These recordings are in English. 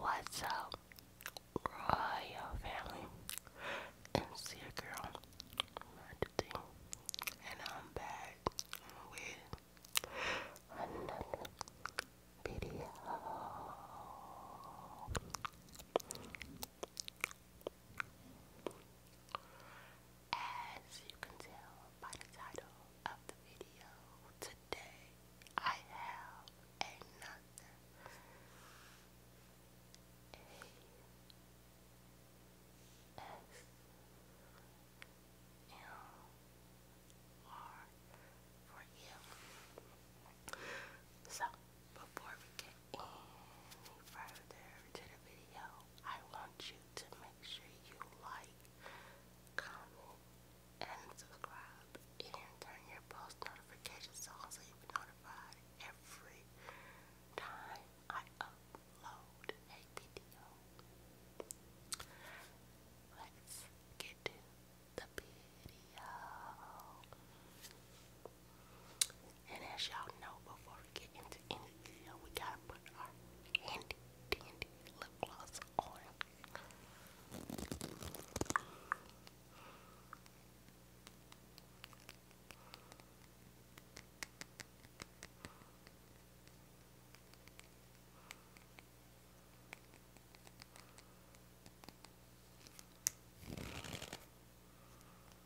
What's up, royal family? It's your girl, Melody, and I'm back with another video. As you can tell by the title of the video, today I have another A S M R for you. So before we get any further to the video, I want you to make sure you like, comment, and subscribe, and turn your post notifications on so you'll be notified every time I upload a video. Let's get to the video. And as y'all know, before we get into any deal, we gotta put our handy dandy lip gloss on.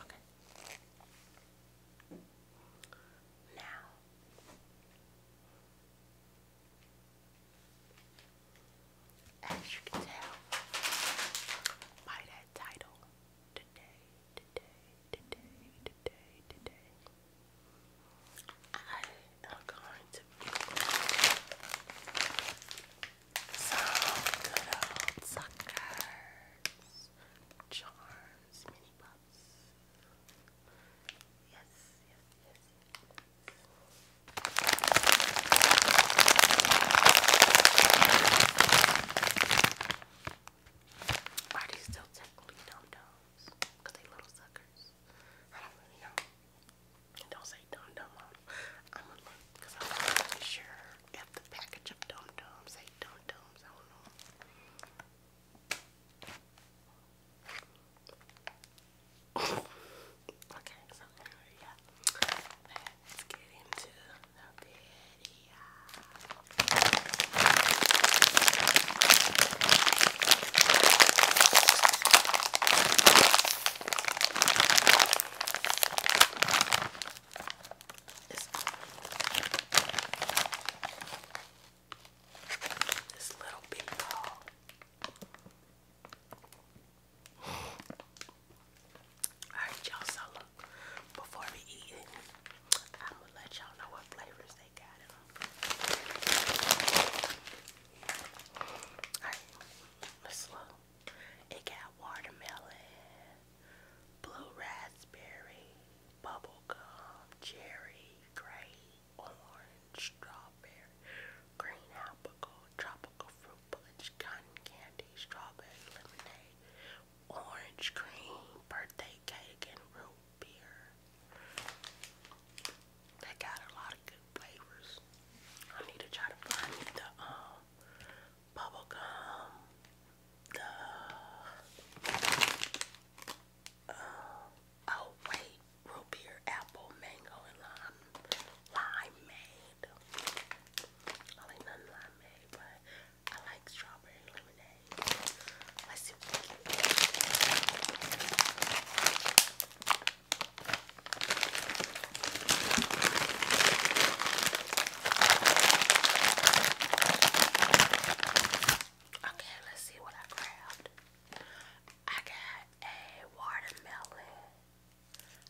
Okay. Now as you can tell by that title, today, today, today, today, today, I am going to be some good old suckers. Charms, mini pups. Yes, yes, yes. Are these still technically dum-dums? they little suckers. I don't really know. Don't say dum dum. I'm gonna look I'm not really sure if the package of dum dums say dum dums. I don't know. okay, so yeah. Let's get into the video. This, this little bitty ball. Alright, y'all, so look, before we eat it, I'm gonna let y'all know what flavors they got Alright, let's look. It got watermelon, blue raspberry, bubblegum, cherry, gray, orange, strawberry, green apple, tropical fruit punch, cotton candy, strawberry lemonade, orange cream, birthday cake, and root beer. They got a lot flavors. I need to try to find the um, bubble gum, the uh, oh wait, root beer, apple, mango, and lime, limeade. I like none limeade, but I like strawberry lemonade. Okay, let's see what I grabbed. I got a watermelon.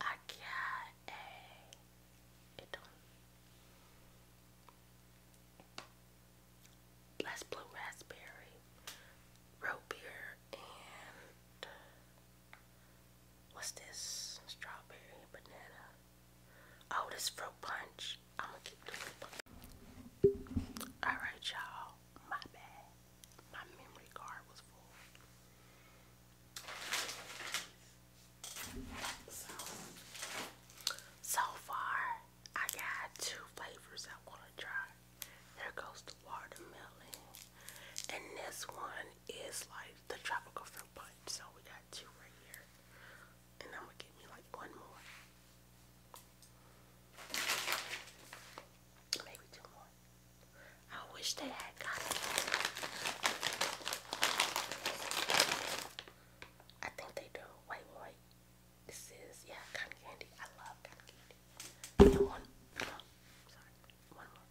I got a it do blue raspberry, root beer, and What's this? Strawberry banana. Oh, this fruit punch. I'm gonna keep doing it. Alright, y'all. My bad. My memory card was full. So, far, I got two flavors I want to try. Here goes the watermelon. And this one is like the tropical fruit punch. So we got two right here. And I'm gonna give me like one more. Maybe two more. I wish they had got it. I think they do. Wait, wait, This is yeah, cotton candy. I love cotton candy. And sorry, one more.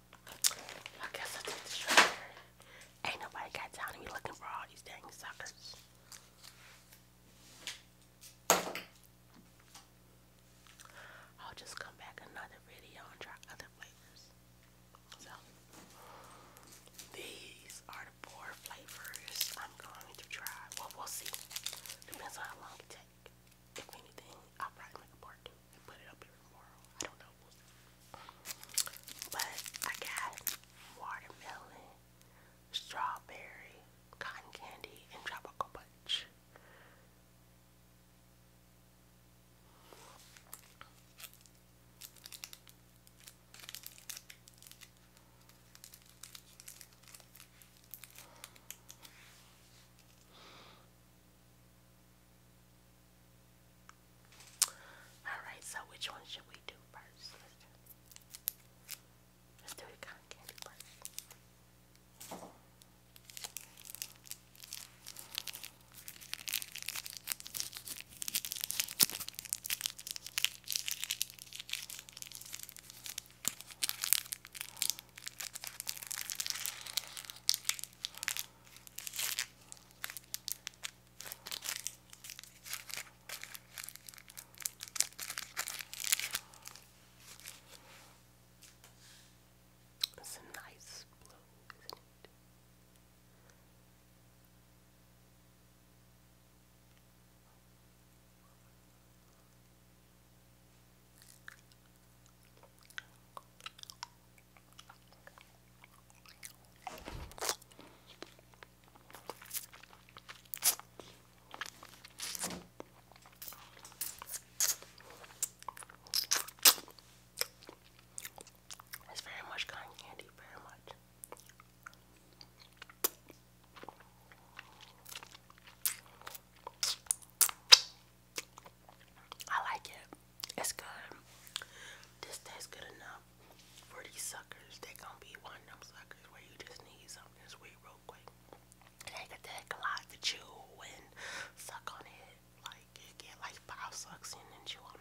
I guess i Ain't nobody got time to be looking for all these dang suckers. I'll just come back another video and try other flavors. So, these are the four flavors I'm going to try. Well, we'll see. Depends on how long it takes. If anything, I'll probably make a part put it up here tomorrow. I don't know. But I got watermelon, strawberry, cotton candy, and tropical punch. Alright, so which one should we do first? Let's do the candy first. It's a nice blue, isn't it? It's very much candy, very much. I like it. It's good. This tastes good enough for these suckers. They gonna be one of them suckers where you just need something sweet real quick. They could take a lot to chew and suck on it. Like you get like five sucks in and chew on it.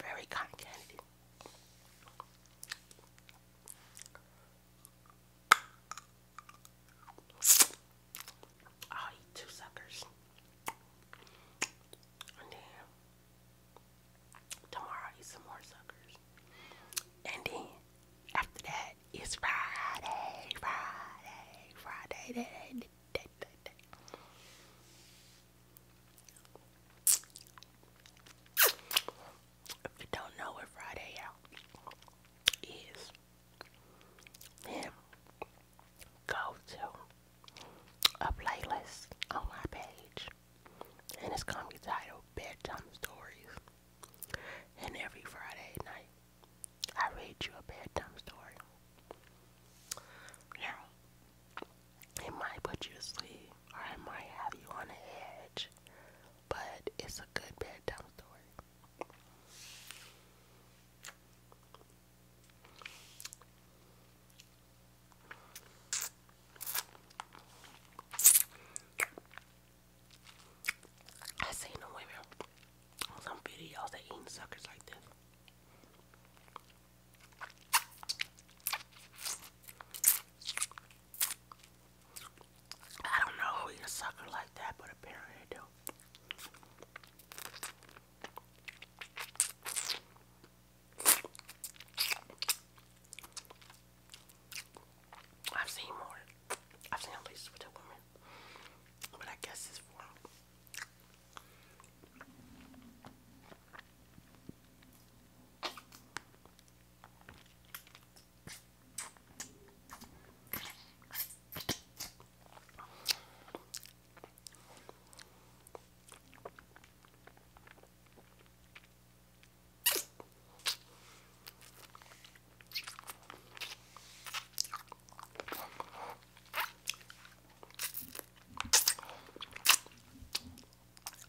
Very kind candy. I'll oh, eat two suckers. Oh, and tomorrow eat some more suckers. And then after that it's Friday, Friday, Friday, day, day, day, day. If you don't know what Friday out is, then go to a playlist on my page, and it's gonna be titled Bedtime Stories. And every Friday night, I read you a bedtime story. Now, it might put you to sleep, or it might have you on edge, but it's a good bad dumb story. I seen the women some videos that eating suckers like this. I don't know who you sucker like that, but apparently I do. I've seen more. I've seen at least with a woman. But I guess it's for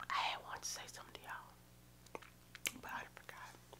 I want to say something to y'all, but I forgot.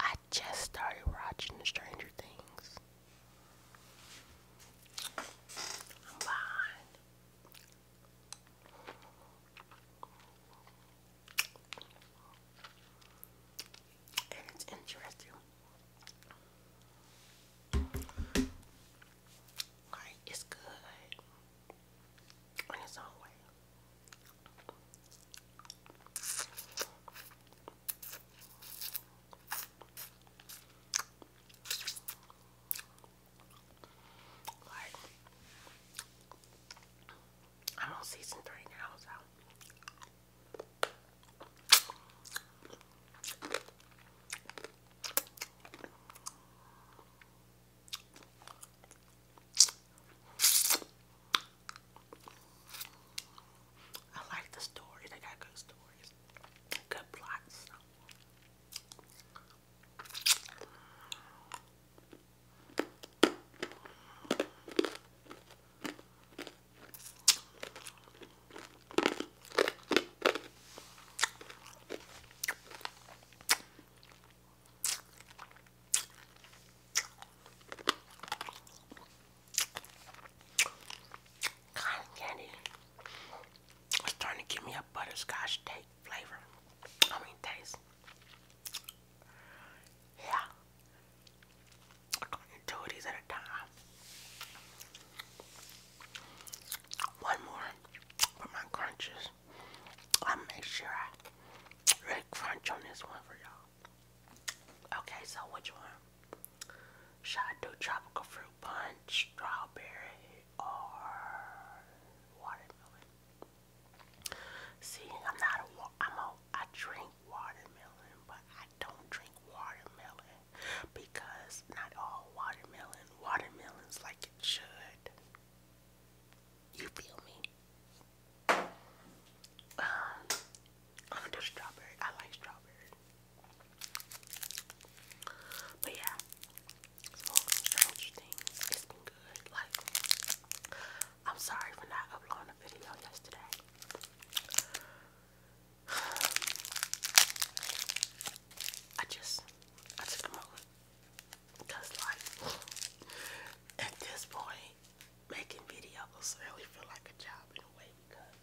I just started watching Stranger Things. I'm behind. And it's interesting. Like, it's good in its own way. I'm on season three now, so. I like the story. They got good stories. Good plots. Cotton candy was starting to give me a butterscotch taste flavor. I mean taste. Yeah. I could these at a time. One more for my crunches. i make sure I really crunch on this one for y'all. Okay, so which one? Should I do tropical fruit punch, strawberry, or watermelon? See, I'm not a I'm a I drink watermelon, but I don't drink watermelon because not all watermelon watermelons like it should. You feel me? Um, I'm gonna do strawberry. I like strawberry. But yeah, so strange things. It's been good. Like, I'm sorry for not uploading a video yesterday. I just, I took a moment. Cause like, at this point, making videos really feel like a job in a way because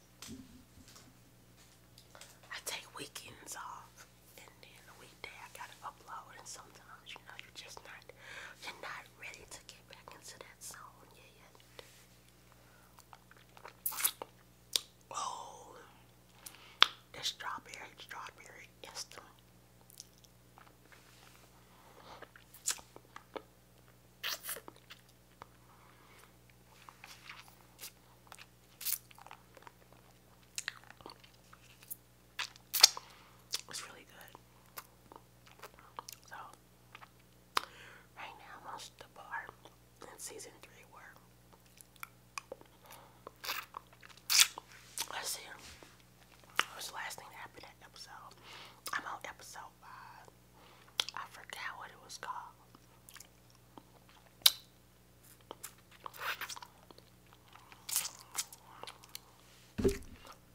I take weekends off and then a weekday I gotta upload and sometimes you know you're just not you're not ready to get back into that zone yet. Oh, the strawberry, strawberry instant it's really good. So, right now, most of the bar in season three were. let see was the last thing that happened that episode? I'm on episode five. I forgot what it was called.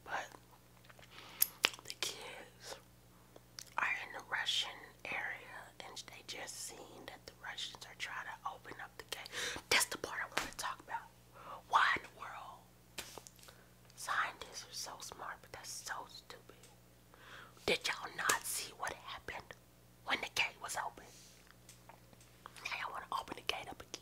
But the kids are in the Russian area and they just seen that the Russians are trying to open up the gate. That's the part I want to talk about. Why in the world Scientists are so smart, but that's so stupid. Did y'all not see what happened when the gate was open? y'all want to open the gate up again.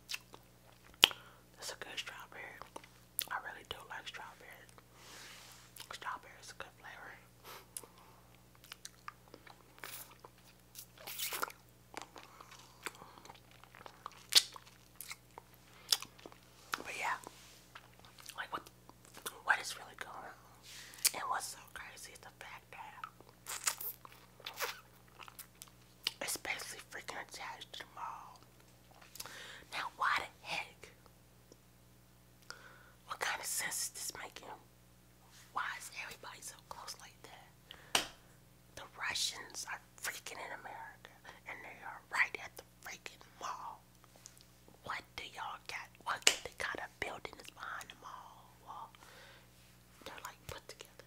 That's a good strawberry. I really do like strawberry. Strawberry is a good flavor. But yeah, like what what is really going on? And what's so crazy is the fact that it's basically freaking attached to the mall. Now, why the heck? What kind of sense is making? Why is everybody so close like that? The Russians are freaking in America, and they are right at the freaking mall. What do y'all got? What they got building that's behind the mall? they're like put together.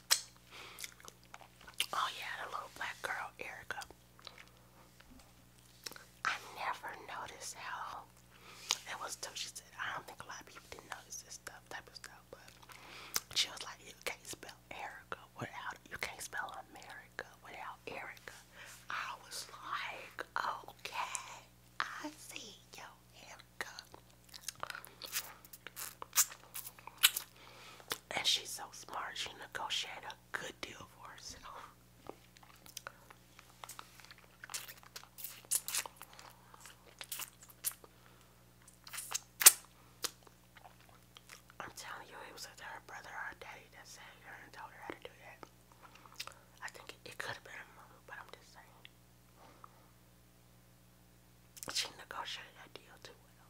Oh yeah, the little black girl, Erica. I never noticed how it was till she said, I don't think a lot of people didn't notice this stuff, type of stuff, but she was like, you can't spell Erica without, you can't spell America without Erica. I was like, okay, I see yo, Erica. And she's so smart, she negotiated a good deal for herself. I'm telling you, it was either her brother or her daddy that saved her how to do that. I think it, could have been her mama, but I'm just saying. She negotiated that deal too well.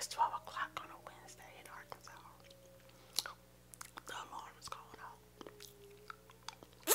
It's 12 o'clock on a Wednesday in Arkansas. The alarm is going off.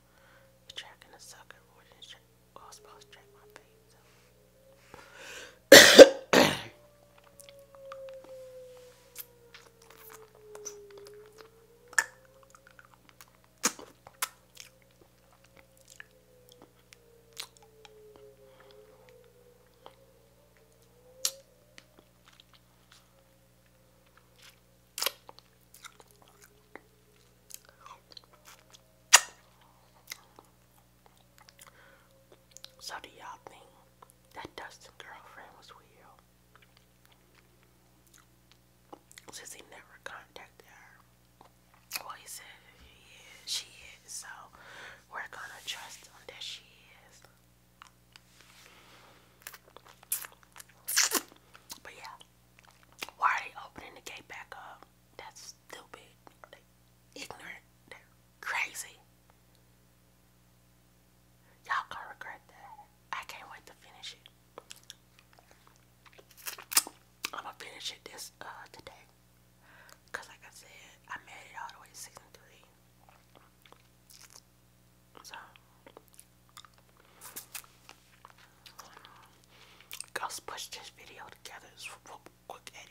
The track and the sucker Who didn't than Cross, crossbow track my face. So do y'all think that Dustin girlfriend was real? Since he never contacted her. Well he said she is, so we're gonna trust him that she is. But yeah. Why are they opening the gate back up? That's stupid. ignorant. They're crazy. Y'all gonna regret that. I can't wait to finish it. I'm gonna finish it this uh, today. Cause like I said, I made it all the way to three. So Girls, push this video together. It's real quick edit.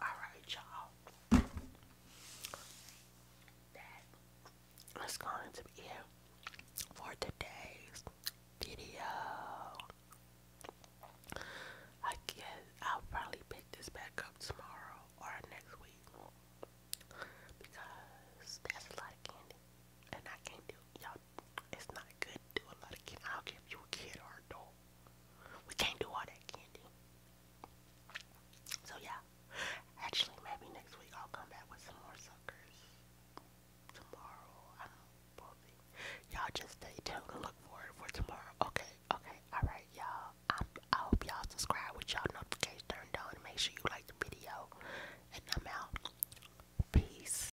Alright, y'all. That's going to be it for today's video. I guess I'll probably pick this back up tomorrow or next week because that's a lot of candy and I can't do y'all it's not good to do a lot of kid. I don't you a kid or adult. We can't do all that candy. So yeah. Actually, maybe next week I'll come back with some more suckers. Tomorrow, I don't know. Y'all just stay tuned and look forward for tomorrow. Okay, okay, alright, y'all. I hope y'all subscribe with y'all notifications turned on and make sure you like the video. And I'm out. Peace.